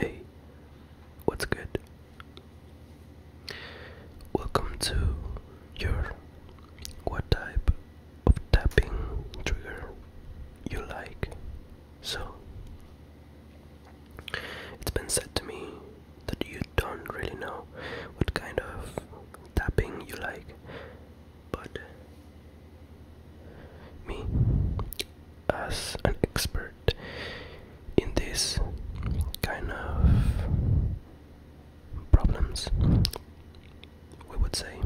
Hey, what's good? Welcome to your what type of tapping trigger you like. So, it's been said to me that you don't really know what kind of tapping you like, but me, as an expert in this kind of problems we would say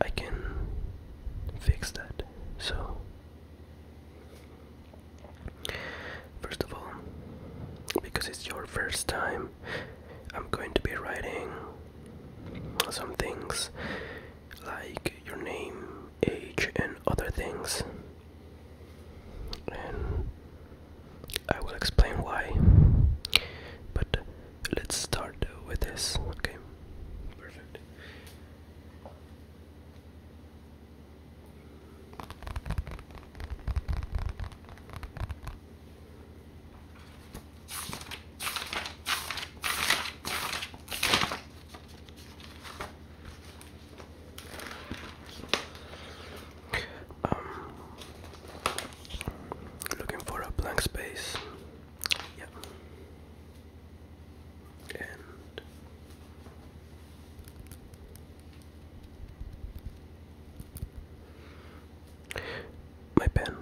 I can fix that so first of all because it's your first time I'm going to be writing some things like your name, age, and other things. And I will explain why. But let's start with this, okay? Perfect. Um, looking for a blank space. Yeah. And my pen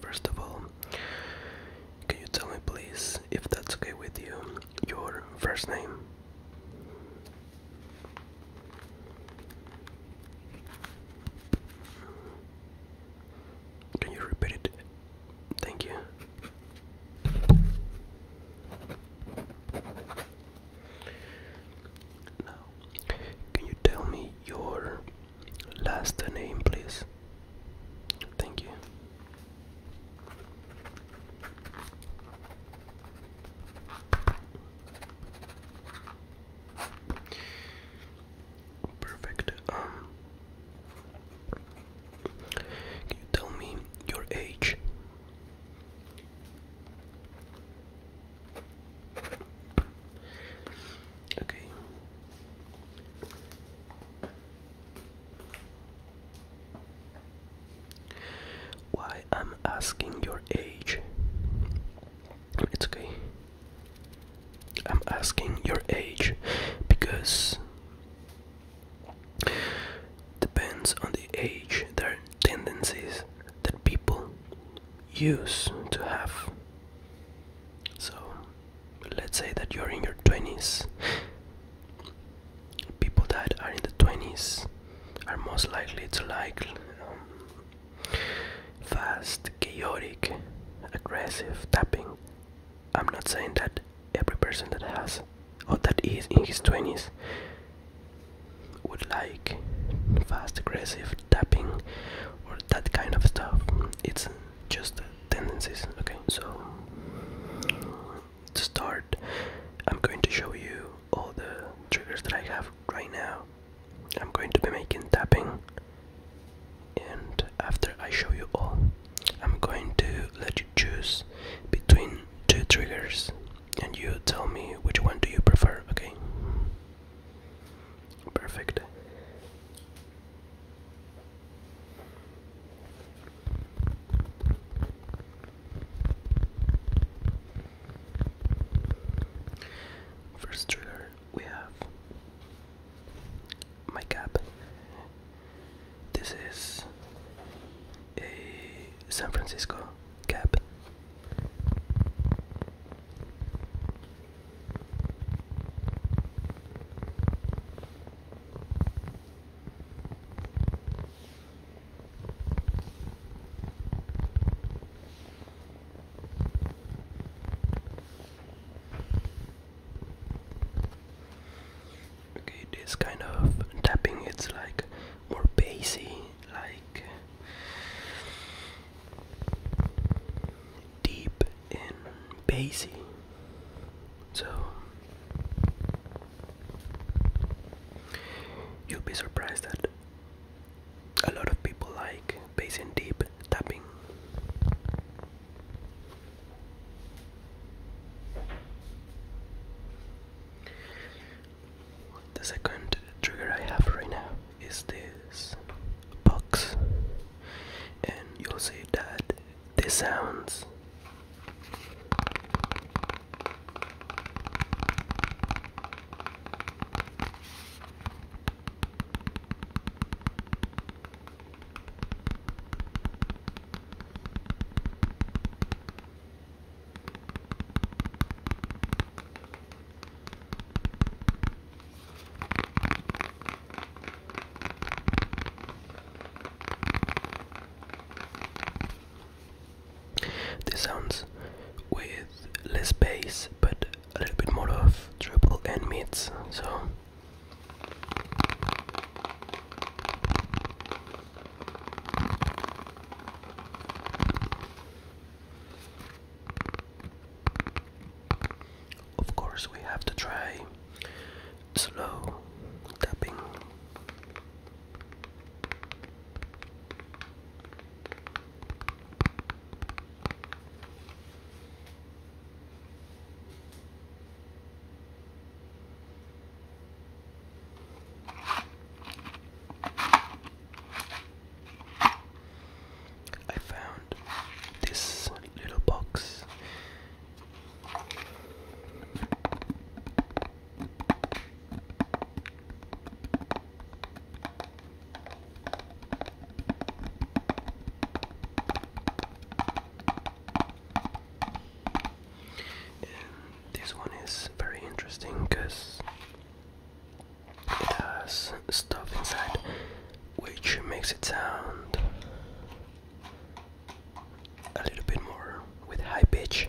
first of all, can you tell me please if that's okay with you, your first name? Can you repeat it? Thank you. Now, can you tell me your last name, please? Thank you. Perfect. Um, can you tell me your age? Okay. Why I'm asking your age? It's okay. I'm asking your age because depends on the age, their tendencies, that people use to have. So let's say that you're in your 20s. People that are in the 20s are most likely to like um, fast, chaotic, aggressive tapping. I'm not saying that every person that has or that is in his 20s would like fast aggressive tapping or that kind of stuff it's just tendencies okay so to start i'm going to show you all the triggers that i have right now i'm going to be making tapping and after i show you all i'm going to let you choose between two triggers and you tell me which one do you prefer okay Perfect. First trigger we have my cap. This is a San Francisco Okay, this kind of tapping it's like more bassy, like deep and bassy. So you'll be surprised that a lot of people like bass and deep tapping. The second trigger I have right now is this box, and you'll see that this sounds. This sounds with less bass but a little bit more of triple and mids, so of course, we have to try slow tapping. I found this little box. And this one is very interesting because it has stuff inside which makes it sound a little bit more with high pitch.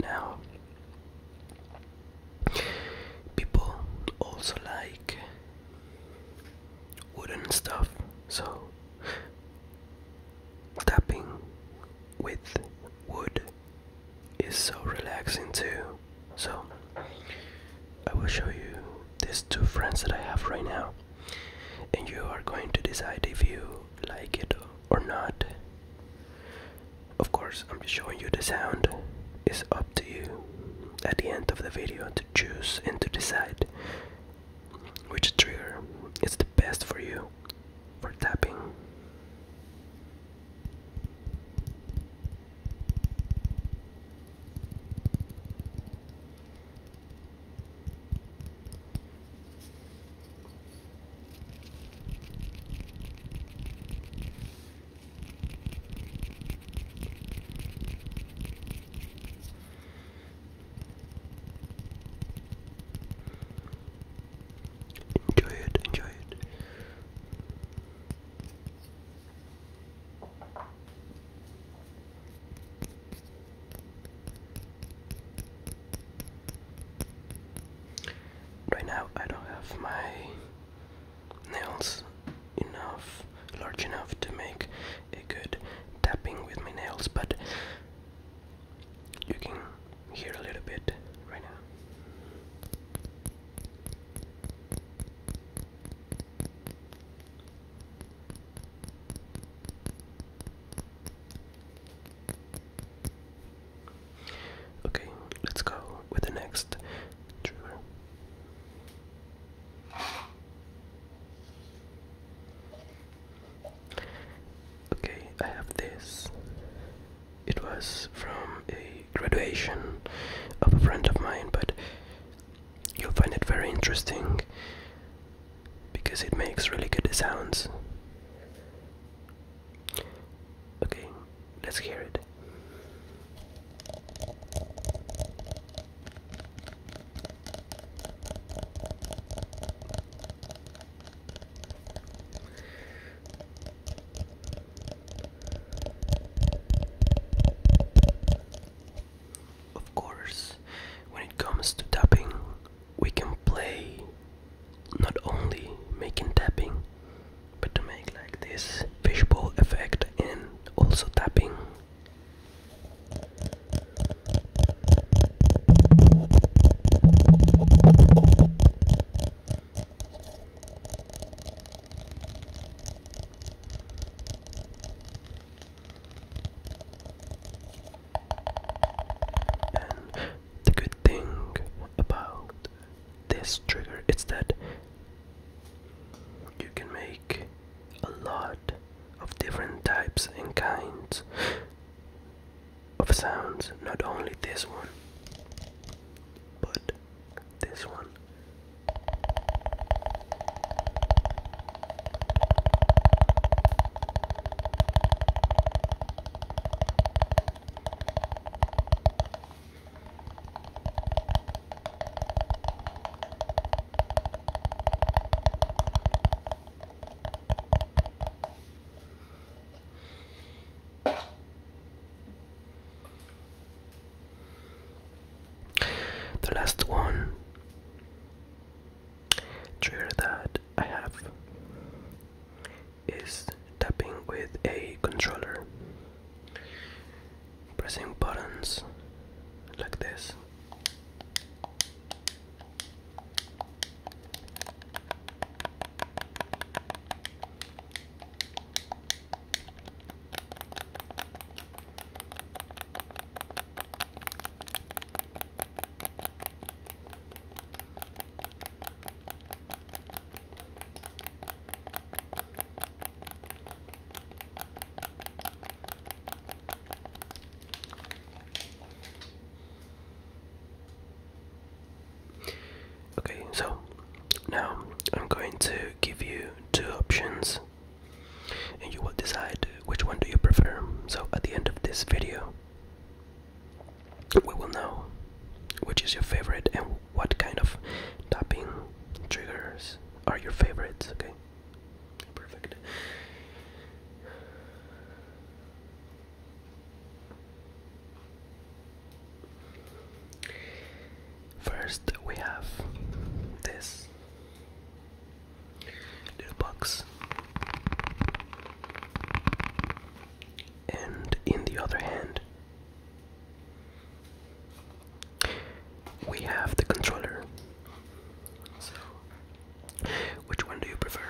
Now, people also like wooden stuff, so tapping with wood is so relaxing too. So, I will show you these two friends that I have right now, and you are going to decide if you like it or not. Of course, I'm just showing you the sound. It's up to you at the end of the video to choose and to decide which trigger is the best for you for tapping. Enjoy it, enjoy it. Right now, I don't have my nails enough, large enough to make a good tapping with my nails, but you can hear a little bit right now. Okay, let's go with the next trigger. Okay, I have this. It was from a graduation of a friend of mine, but you'll find it very interesting because it makes really good sounds. Okay, let's hear it. Of course, when it comes to tapping, we can play not only making tapping but to make like this fishbowl effect and also tapping and the good thing about this trigger is that you can make a lot of different types and kinds of sounds, not only this one, but this one. The last one trigger that I have is tapping with a controller, pressing buttons like this. Okay, so now I'm going to give you two options and you will decide which one do you prefer. So at the end of this video, we will know which is your favorite and what kind of tapping triggers are your favorites, okay? Perfect. First, we have this little box and in the other hand, we have the controller. So, which one do you prefer?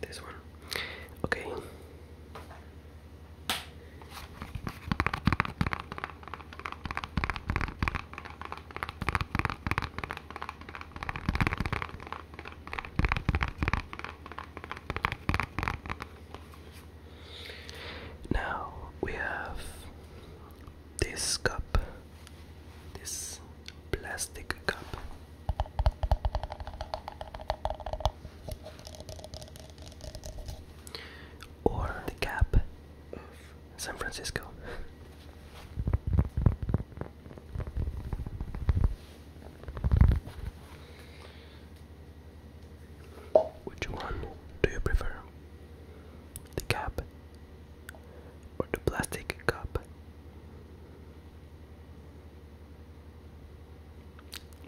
This one. Okay. Now we have this cup, this plastic cup. Or the cap of San Francisco. Which one do you prefer? The cap or the plastic cup.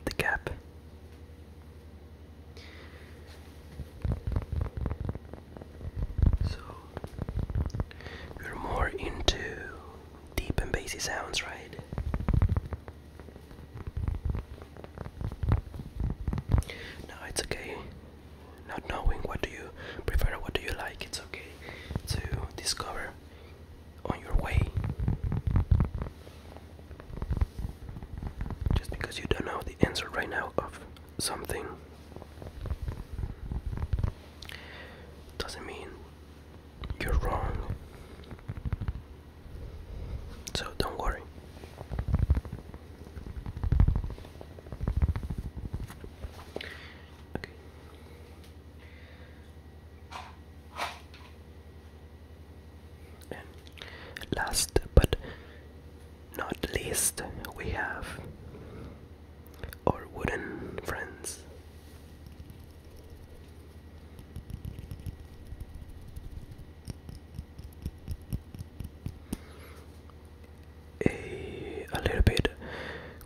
The cap. So you're more into deep and bassy sounds, right? No, it's okay. Not knowing what do you prefer, what do you like, it's okay to discover on your way. Just because you don't know the answer right now of something doesn't mean you're wrong. So don't worry. Okay, last but not least, we have our wooden friends a, a little bit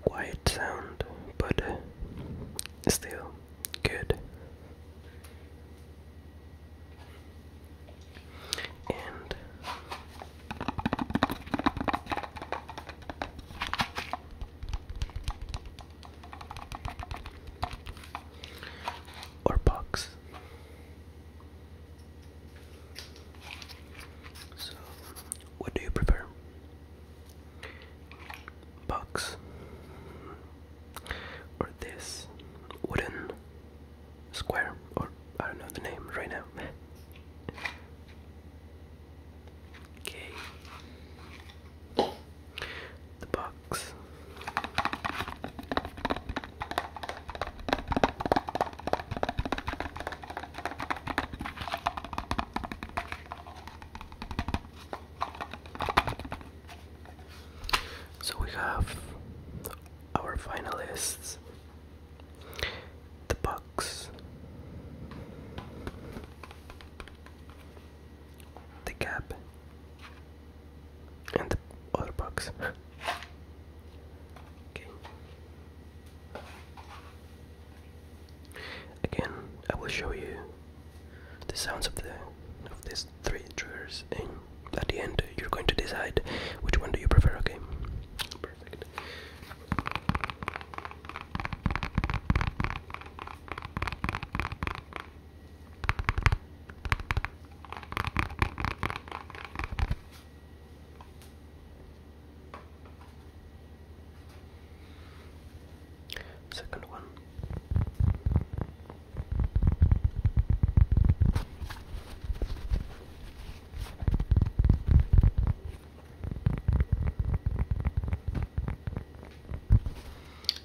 quiet sound, but uh, still good. And or box. So what do you prefer? Box or this wooden square or I don't know the name right now. okay. The box. So we have our finalists the Bucks, the Cap, and the other Bucks. okay. Again, I will show you the sounds of the of these three triggers, and at the end you're going to decide which one do you prefer. Okay, perfect. Second one.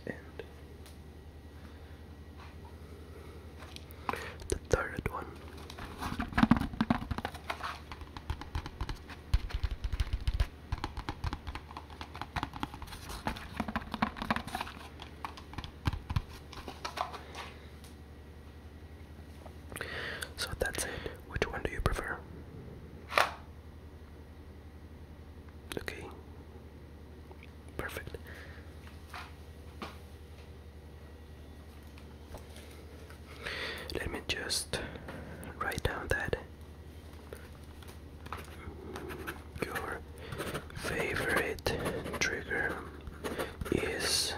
And the third one. So that's it. Which one do you prefer? Okay. Perfect. Let me just write down that your favorite trigger is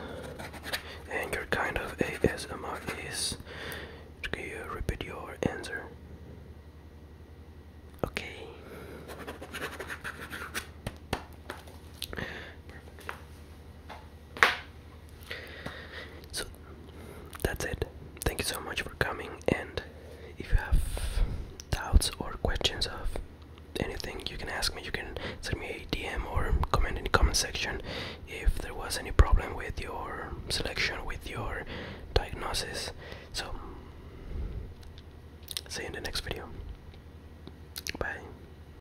and your kind of ASMR is. Can you repeat your answer? Okay. So that's it. Thank you so much for coming and if you have doubts or questions of anything you can ask me you can send me a DM or comment in the comment section if there was any problem with your selection with your diagnosis. So see you in the next video. Bye.